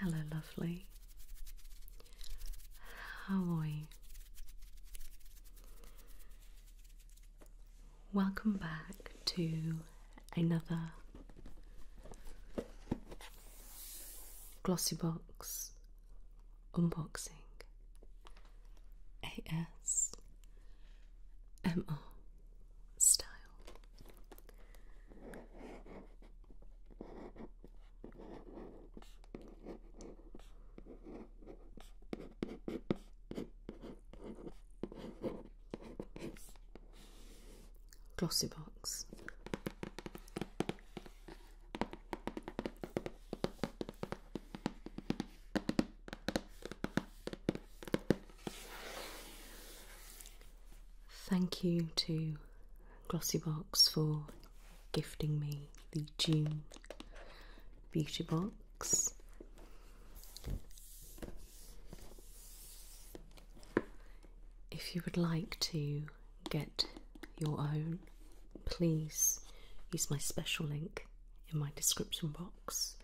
Hello, lovely. How are you? Welcome back to another glossy box unboxing A S M O style. Glossy box. Thank you to Glossybox for gifting me the June Beauty Box. If you would like to get your own, please use my special link in my description box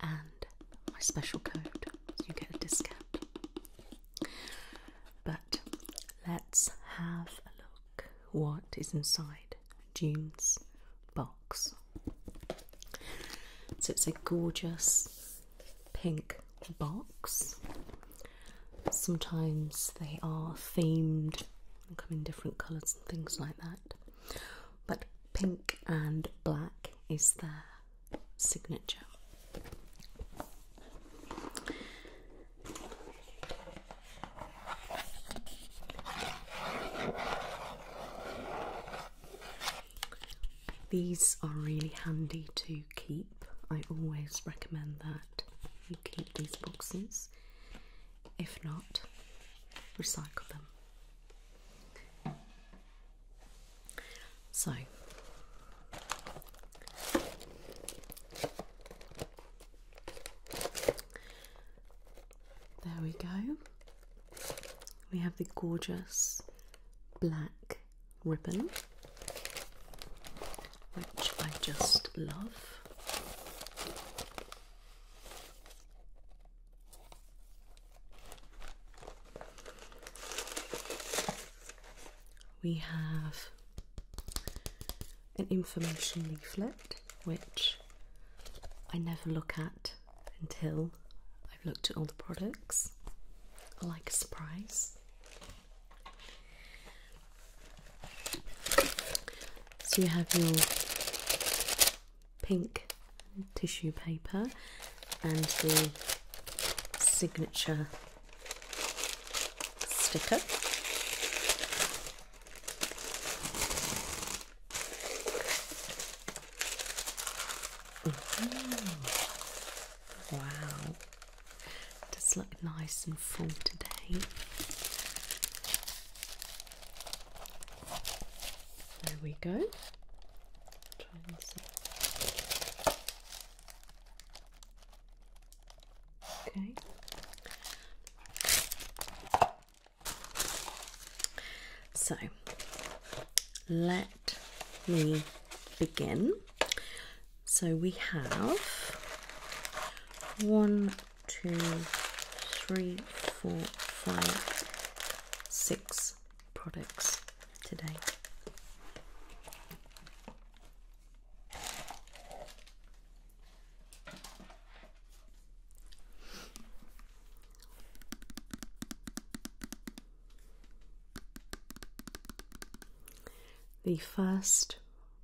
and my special code so you get a discount. But let's have a look what is inside June's box. So it's a gorgeous pink box. Sometimes they are themed and come in different colours and things like that. But pink and black is their signature. These are really handy to keep. I always recommend that you keep these boxes if not, recycle them. So, there we go. We have the gorgeous black ribbon which I just love. We have an information leaflet which I never look at until I've looked at all the products. I like a surprise. So you have your pink tissue paper and the signature sticker. Mm-hmm. Wow. Just look nice and full today. There we go. Okay. So let me begin. So we have one, two, three, four, five, six products today. The first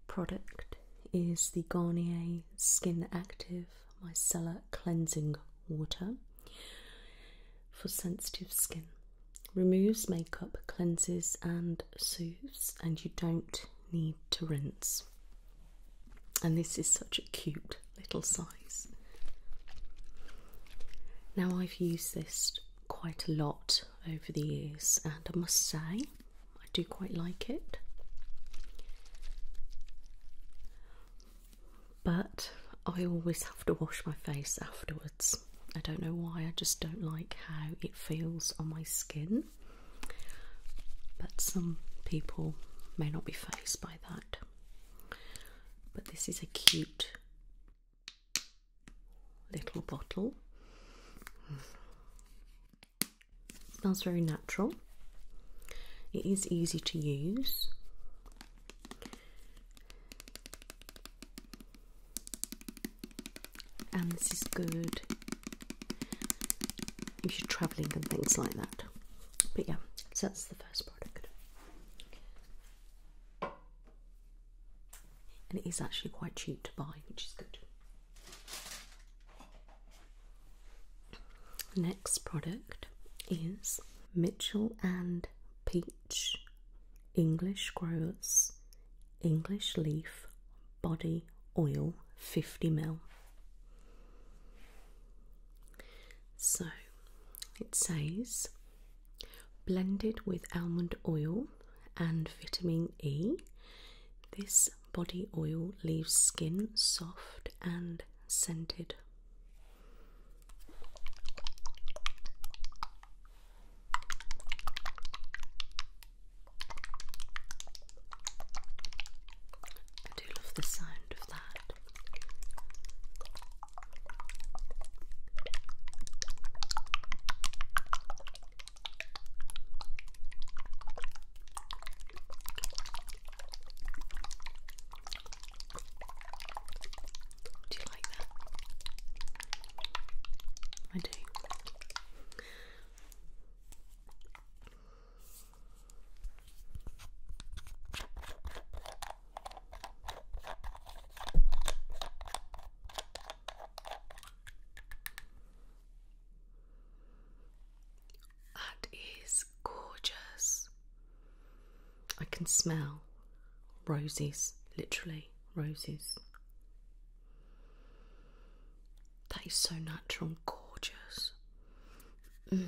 product is the Garnier Skin Active Micellar Cleansing Water for sensitive skin. Removes makeup, cleanses, and soothes, and you don't need to rinse. And this is such a cute little size. Now, I've used this quite a lot over the years, and I must say I do quite like it. But I always have to wash my face afterwards. I don't know why, I just don't like how it feels on my skin. But some people may not be faced by that. But this is a cute little bottle. Smells very natural. It is easy to use. And this is good if you're travelling and things like that. But yeah, so that's the first product. And it is actually quite cheap to buy, which is good. Next product is Mitchell and Peach English Growers English Leaf Body Oil 50ml. So it says blended with almond oil and vitamin E, this body oil leaves skin soft and scented. I do love the sound of that. Do you like that? I do. That is gorgeous. I can smell roses, literally roses. That is so natural and gorgeous. Mm.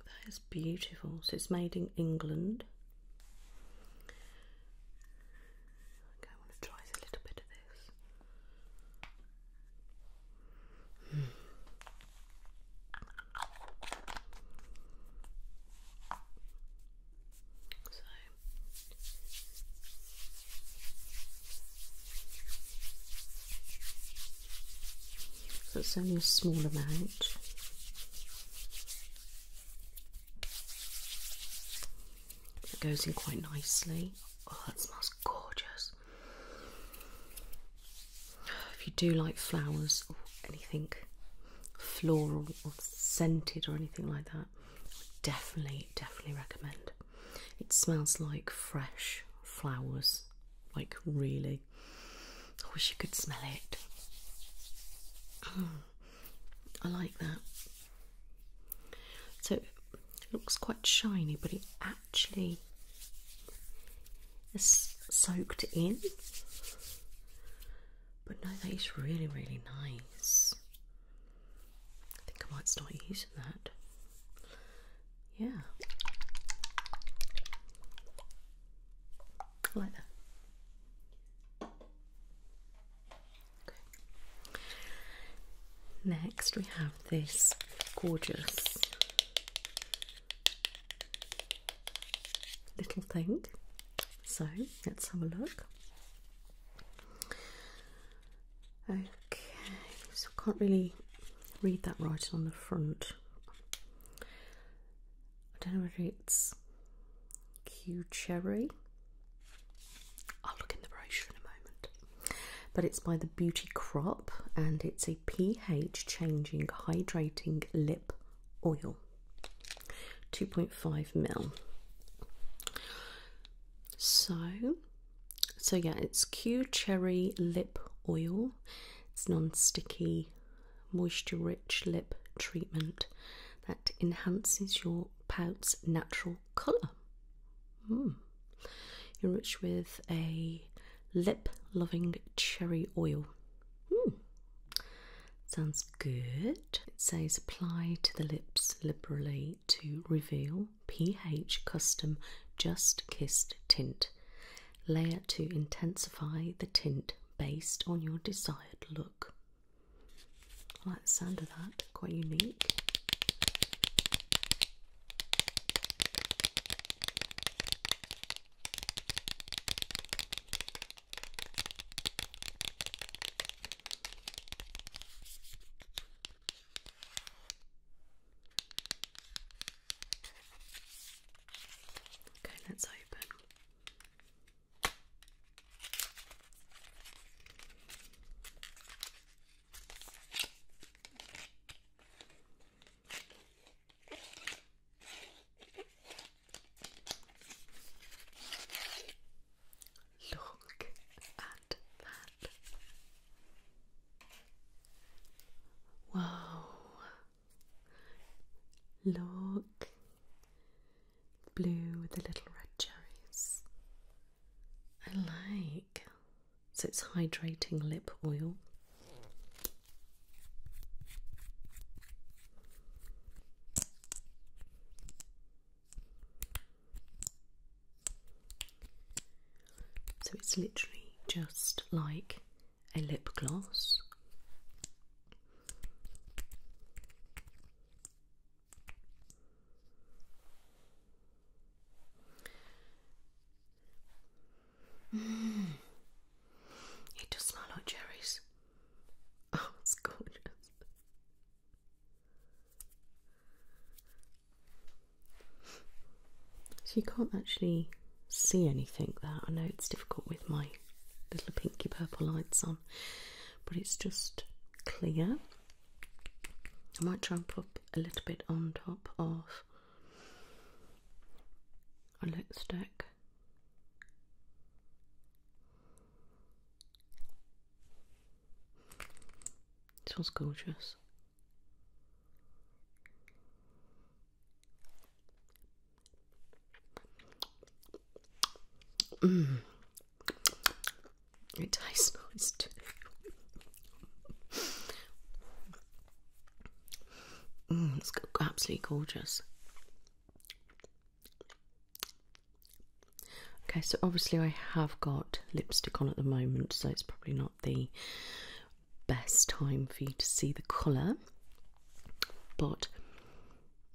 That is beautiful. So it's made in England. Okay, I want to try a little bit of this. So so it's only a small amount. It goes in quite nicely. Oh, that smells gorgeous. If you do like flowers or anything floral or scented or anything like that, definitely, definitely recommend. It smells like fresh flowers, like really. I wish you could smell it. Mm. I like that. So it looks quite shiny, but it actually is soaked in. But no, that is really, really nice. I think I might start using that. Yeah. like that. Next, we have this gorgeous little thing. So let's have a look. Okay, so I can't really read that writing on the front. I don't know whether it's Q cherry I'll look in the brochure in a moment. But it's by the Beauty Crop and it's a pH changing hydrating lip oil. 2.5 ml. So, so yeah, it's Q Cherry Lip Oil. It's non-sticky, moisture-rich lip treatment that enhances your pout's natural colour. Hmm. Enriched with a lip loving cherry oil. Hmm. Sounds good. It says apply to the lips liberally to reveal pH custom just kissed tint. Layer to intensify the tint based on your desired look. I sound of that, quite unique. Okay, let's open. Look at that. Wow. Look. Blue with the little red cherries. I like. So it's hydrating lip oil. So it's literally just like a lip gloss. Mm. It does smell like cherries. Oh, it's gorgeous. So you can't actually see anything there. I know it's difficult with my little pinky purple lights on, but it's just clear. I might try and put a little bit on top of a lipstick. This was gorgeous. Mm. It tastes nice too. it's absolutely gorgeous. Okay, so obviously I have got lipstick on at the moment, so it's probably not the best time for you to see the colour. But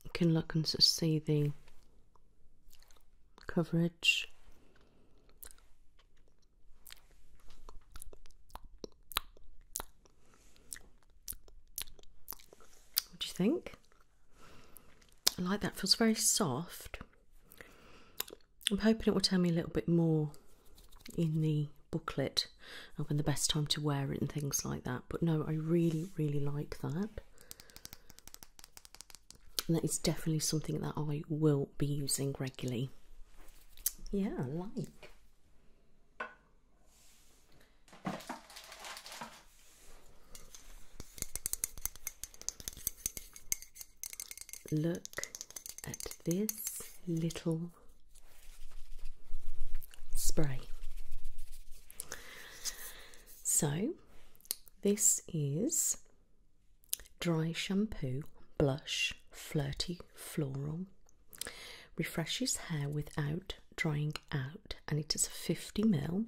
you can look and see the coverage what do you think? I like that, feels very soft. I'm hoping it will tell me a little bit more in the booklet of when the best time to wear it and things like that. But no, I really, really like that that is definitely something that I will be using regularly. Yeah, like. Look at this little spray. So, this is dry shampoo, blush, flirty floral. Refreshes hair without drying out, and it is a 50 ml.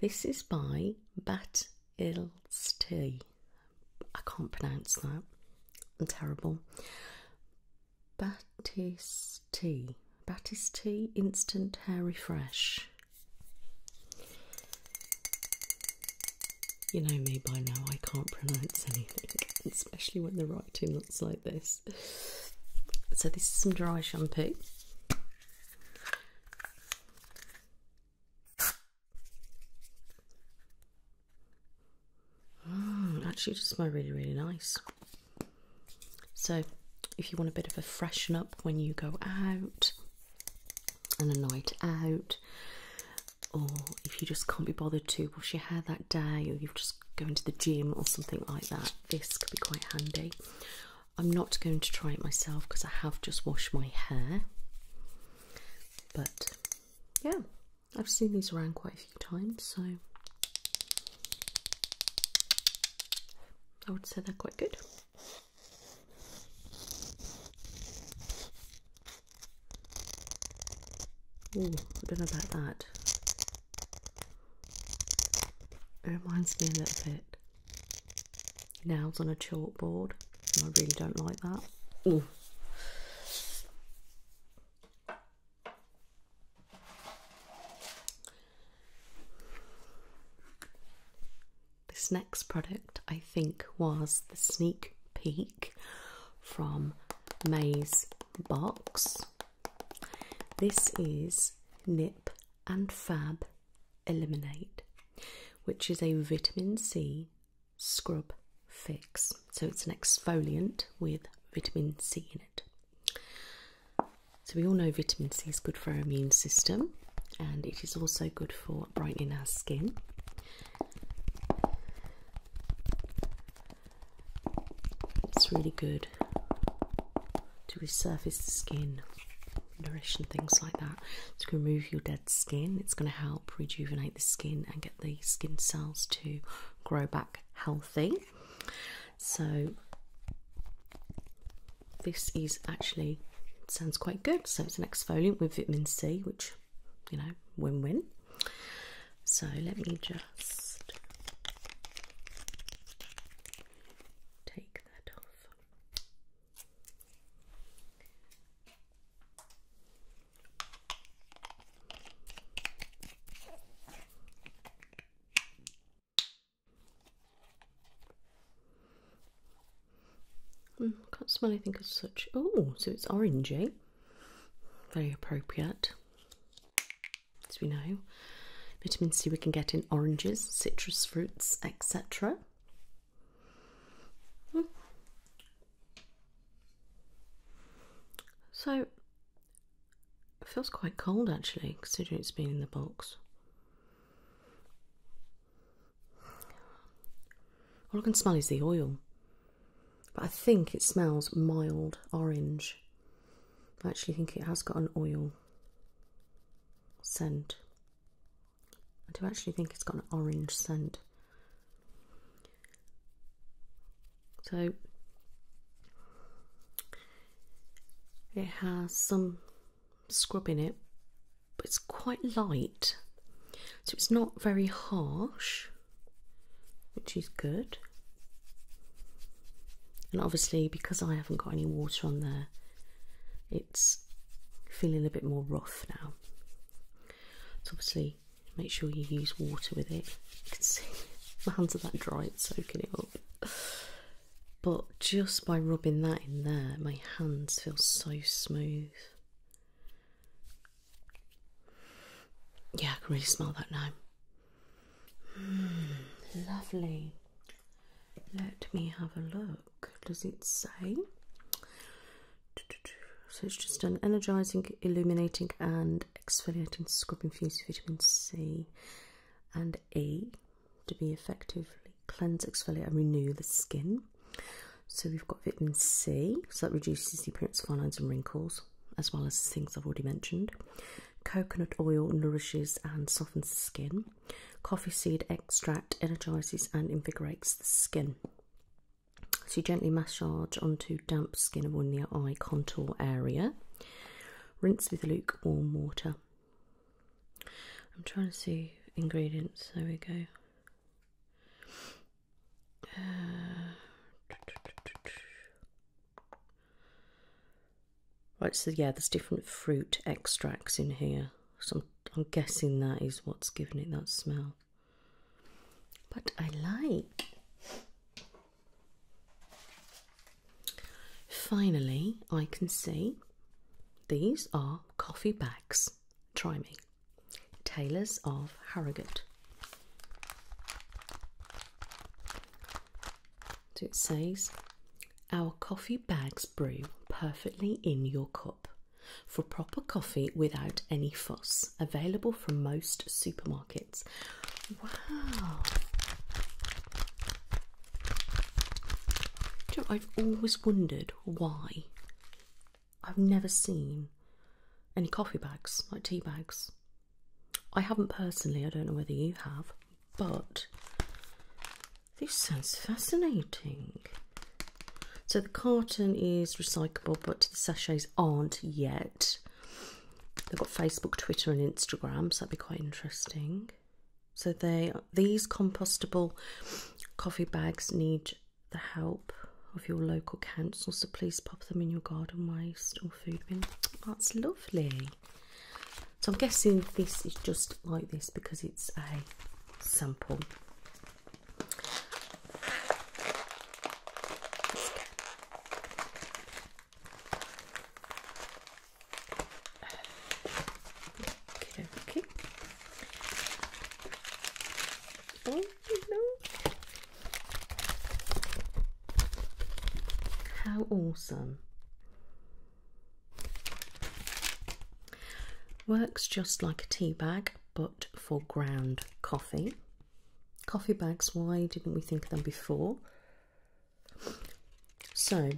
This is by Bat Ilsti. I can't pronounce that. I'm terrible. Batiste Batiste Instant Hair Refresh. You know me by now, I can't pronounce anything, especially when the writing looks like this. So, this is some dry shampoo. Mm, actually, it just smell really, really nice. So, if you want a bit of a freshen up when you go out, and a night out, or if you just can't be bothered to wash your hair that day, or you've just going to the gym or something like that, this could be quite handy. I'm not going to try it myself because I have just washed my hair, but yeah, I've seen these around quite a few times, so I would say they're quite good. I don't know about that. It reminds me a little bit. Nails on a chalkboard. I really don't like that. This next product, I think, was the sneak peek from May's box. This is Nip and Fab Eliminate, which is a vitamin C scrub fix. So it's an exfoliant with vitamin C in it. So we all know vitamin C is good for our immune system and it is also good for brightening our skin. It's really good to resurface the skin, nourish and things like that. to remove your dead skin, it's going to help rejuvenate the skin and get the skin cells to grow back healthy. So, this is actually sounds quite good. So it's an exfoliant with vitamin C, which you know, win-win. So let me just take that off. Mm, can't smell anything as such. Oh, so it's orangey. Very appropriate. As we know, vitamin C we can get in oranges, citrus fruits, etc. Hmm. So, it feels quite cold actually, considering it's been in the box. All I can smell is the oil, but I think it smells mild orange. I actually think it has got an oil scent. I do actually think it's got an orange scent. So it has some scrubbing it, but it's quite light, so it's not very harsh, which is good. And obviously, because I haven't got any water on there, it's feeling a bit more rough now. So, obviously, make sure you use water with it. You can see my hands are that dry, it's soaking it up. But just by rubbing that in there, my hands feel so smooth. Yeah, I can really smell that now. Hmm, lovely. Let me have a look. Does it say? So it's just an energizing, illuminating, and exfoliating scrub infused with vitamin C and E to be effectively cleanse, exfoliate, and renew the skin. So we've got vitamin C, so that reduces the appearance of fine lines and wrinkles, as well as things I've already mentioned. Coconut oil nourishes and softens the skin. Coffee seed extract energizes and invigorates the skin. So gently massage onto damp skin around the eye contour area. Rinse with lukewarm water I'm trying to see ingredients. There we go. Uh, right, so yeah, there's different fruit extracts in here. So I'm, I'm guessing that is what's giving it that smell. But I like. Finally, I can see these are coffee bags. Try me. Tailors of Harrogate. it says, Our coffee bags brew perfectly in your cup for proper coffee without any fuss. Available from most supermarkets. Wow. I've always wondered why I've never seen any coffee bags, like tea bags. I haven't personally, I don't know whether you have, but this sounds fascinating. So the carton is recyclable, but the sachets aren't yet. They've got Facebook, Twitter, and Instagram, so that'd be quite interesting. So they these compostable coffee bags need the help of your local council, so please pop them in your garden waste or food bin. That's lovely. So I'm guessing this is just like this because it's a sample. How awesome! Works just like a tea bag but for ground coffee. Coffee bags, why didn't we think of them before? So,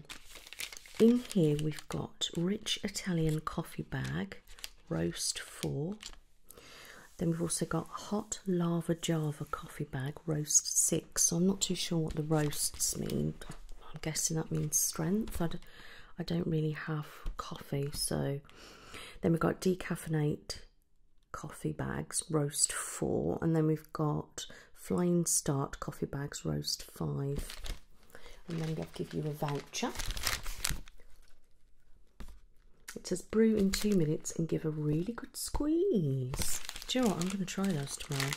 in here we've got rich Italian coffee bag, roast four. Then we've also got hot lava Java coffee bag, roast six. I'm not too sure what the roasts mean. I'm guessing that means strength. I d I don't really have coffee, so then we've got decaffeinate coffee bags, roast four, and then we've got flying start coffee bags, roast five and then they'll give you a voucher. It says brew in two minutes and give a really good squeeze. Do you know what? I'm going to try those tomorrow.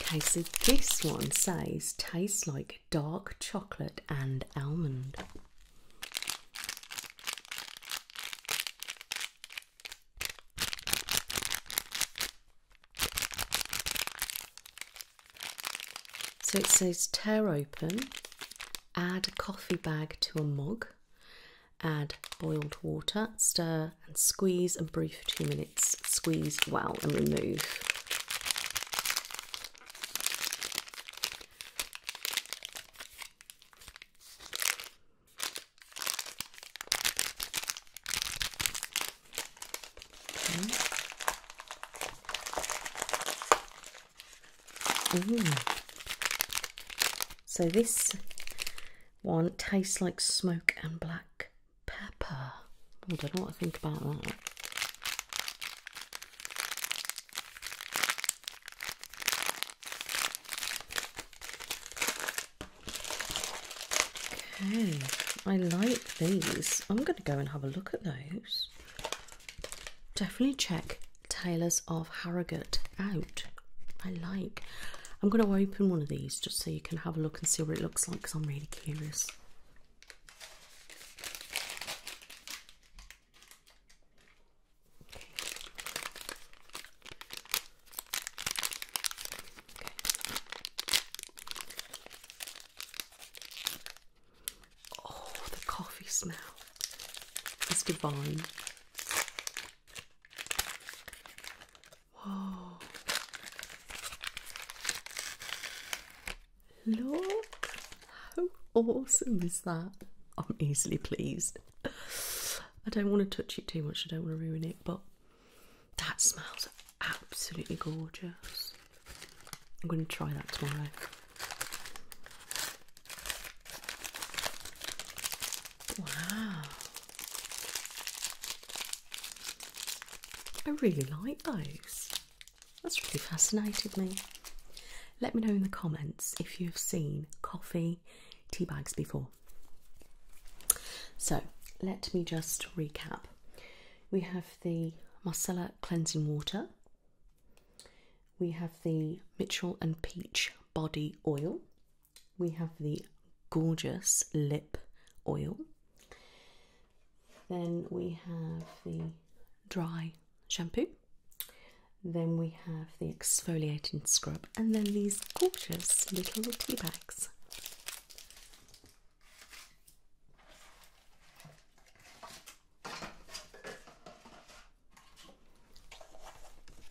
Okay, so this one says tastes like dark chocolate and almond. So it says tear open, add coffee bag to a mug, add boiled water, stir and squeeze and brew for two minutes. Squeeze well and remove. Hmm. So this one tastes like smoke and black pepper. I don't know what I think about that. Okay, I like these. I'm going to go and have a look at those. Definitely check Tailors of Harrogate out. I like. I'm going to open one of these just so you can have a look and see what it looks like because I'm really curious. Oh, the coffee smell is divine. Whoa. Look, how awesome is that? I'm easily pleased. I don't want to touch it too much, I don't want to ruin it, but that smells absolutely gorgeous. I'm going to try that tomorrow. Wow. I really like those. That's really fascinated me. Let me know in the comments if you've seen coffee tea bags before. So let me just recap. We have the Marcella cleansing water. We have the Mitchell and Peach body oil. We have the gorgeous lip oil. Then we have the dry shampoo. Then we have the exfoliating scrub, and then these gorgeous little tea bags.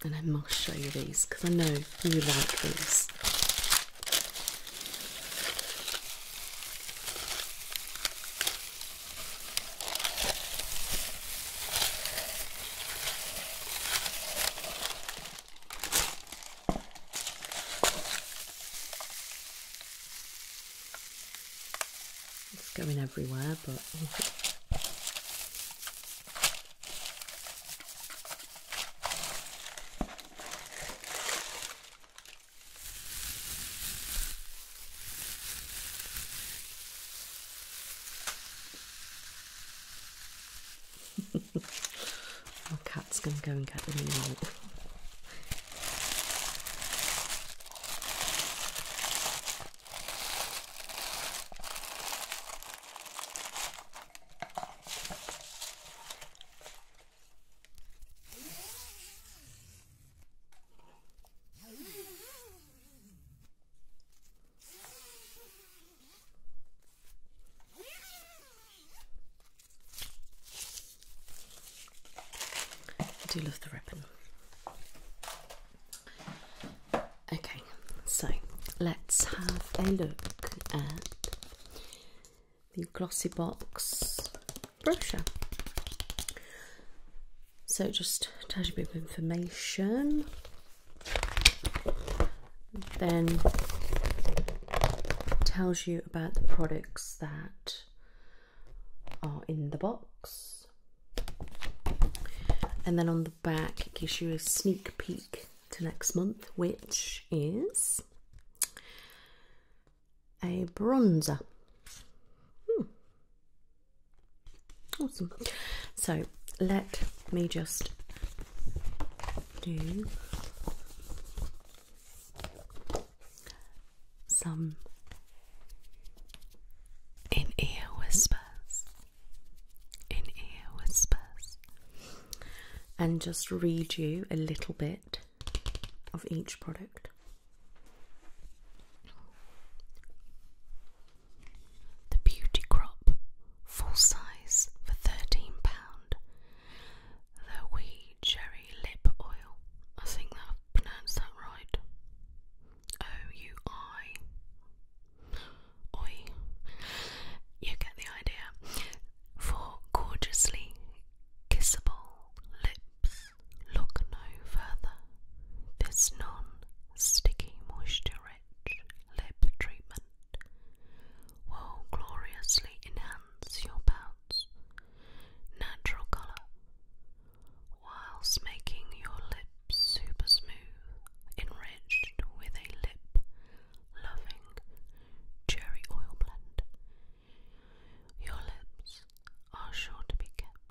And I must show you these because I know you like these. It's going everywhere, but Our cat's gonna go and get the meal. I do love the wrapping. Okay, so let's have a look at the Glossy Box brochure. So just tells you a bit of information. Then tells you about the products that are in the box. And then on the back gives you a sneak peek to next month, which is a bronzer. Hmm. Awesome. So let me just do some in ear whispers, in ear whispers, and just read you a little bit of each product. The Beauty Crop, full size for £13, the Wee Cherry Lip Oil, I think I've pronounced that right, O-U-I, Oi, you get the idea, for gorgeously kissable lips, look no further, this non sticky, moisture rich lip treatment will gloriously enhance your pout's natural colour whilst making your lips super smooth, enriched with a lip loving cherry oil blend. Your lips are sure to be kept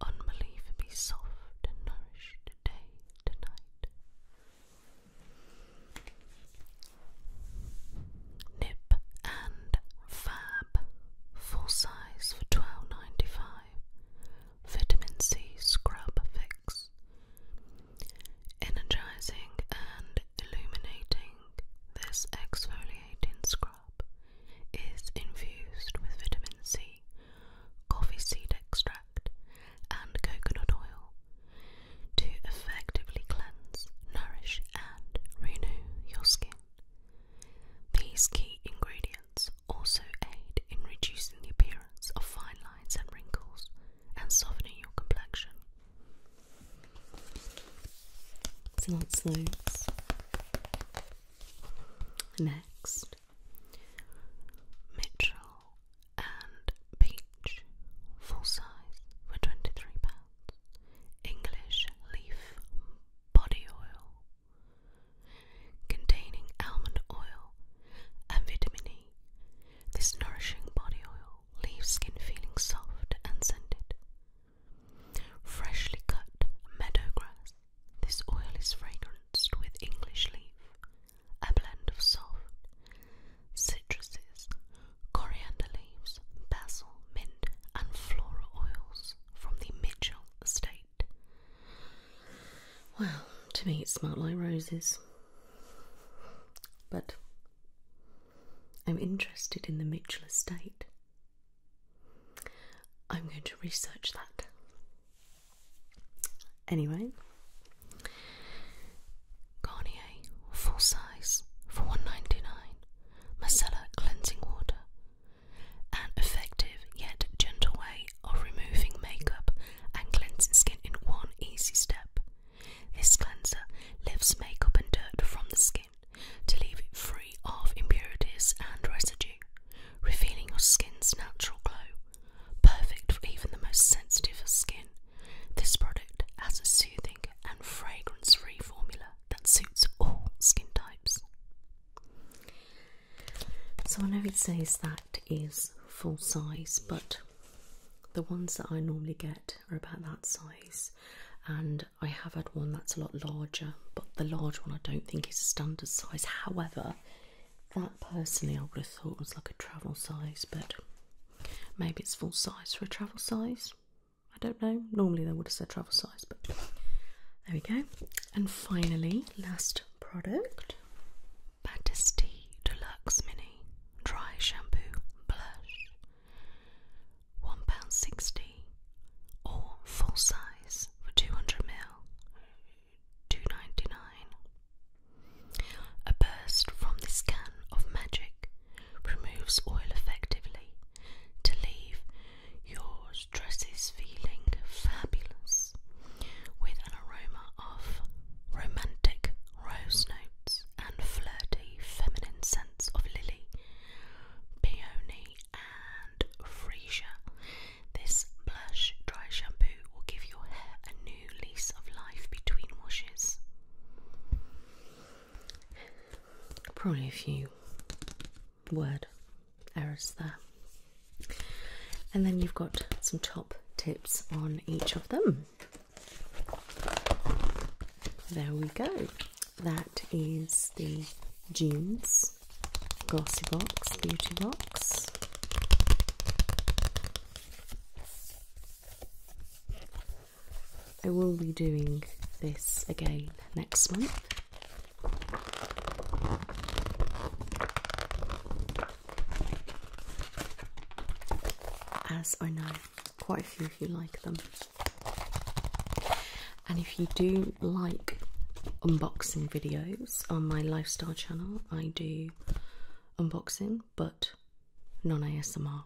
unbelievably soft and nourished day to night. Nip and Fab, full size for twelve ninety five. Vitamin C scrub fix. Energizing and illuminating, this exfoliating scrub is infused with vitamin C coffee seed extract, and coconut oil to effectively cleanse, nourish, and renew your skin. These key ingredients also aid in reducing the appearance of fine lines and wrinkles and softening your complexion. So that's those. Next, Mitchell and Beach full size, for £23. English leaf body oil containing almond oil and vitamin E. This nourishing body oil leaves skin feeling soft and scented. Freshly cut meadow grass this oil is fragranced with English leaf, a blend of soft citruses, coriander leaves, basil, mint, and floral oils from the Mitchell estate. Well, to me it smelled like roses. But I'm interested in the Mitchell estate. I'm going to research that. Anyway, Garnier full size for $1.99, micellar cleansing water, an effective yet gentle way of removing makeup and cleansing skin in one easy step. This cleanser lifts makeup and dirt from the skin to leave it free of impurities and residues revealing your skin's natural glow, perfect for even the most sensitive of skin. This product has a soothing and fragrance-free formula that suits all skin types. So I know it says that is full size, but the ones that I normally get are about that size, and I have had one that's a lot larger, but the large one I don't think is a standard size. However, that personally I would have thought was like a travel size, but maybe it's full size for a travel size. I don't know. Normally they would have said travel size, but there we go. And finally, last product Batiste Deluxe Mini Dry Shampoo Blush. £1.60 or full size for 200ml. 2.99. A burst from this can of magic removes oil effectively to leave your dresses feeling fabulous with an aroma of romantic rose notes and flirty feminine scents of lily, peony, and freesia this blush dry shampoo will give your hair a new lease of life between washes. Probably a few word errors there. And then you've got some top tips on each of them. There we go. That is the jeans glossy box, beauty box. I will be doing this again next month. As I know, quite a few of you like them. And if you do like unboxing videos on my lifestyle channel, I do unboxing but non ASMR.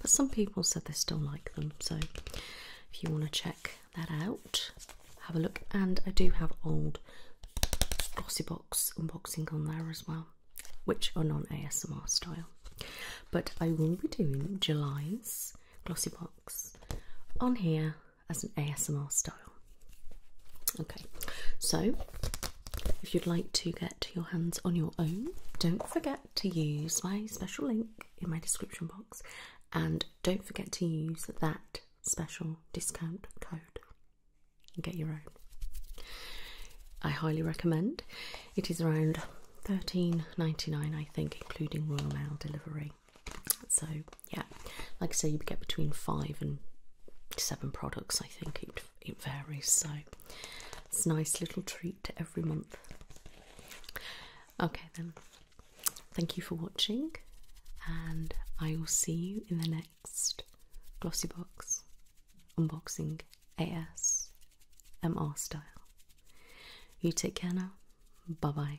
But some people said they still like them, so if you want to check that out, have a look. And I do have old glossy box unboxing on there as well, which are non ASMR style. But I will be doing July's glossy box on here as an ASMR style. Okay, so if you'd like to get your hands on your own, don't forget to use my special link in my description box and don't forget to use that special discount code and get your own. I highly recommend. It is around 13.99 I think including Royal Mail delivery. So yeah, like I say, you get between five and seven products. I think it it varies. So it's a nice little treat every month. Okay then. Thank you for watching, and I will see you in the next glossy box unboxing AS MR style. You take care now. Bye bye.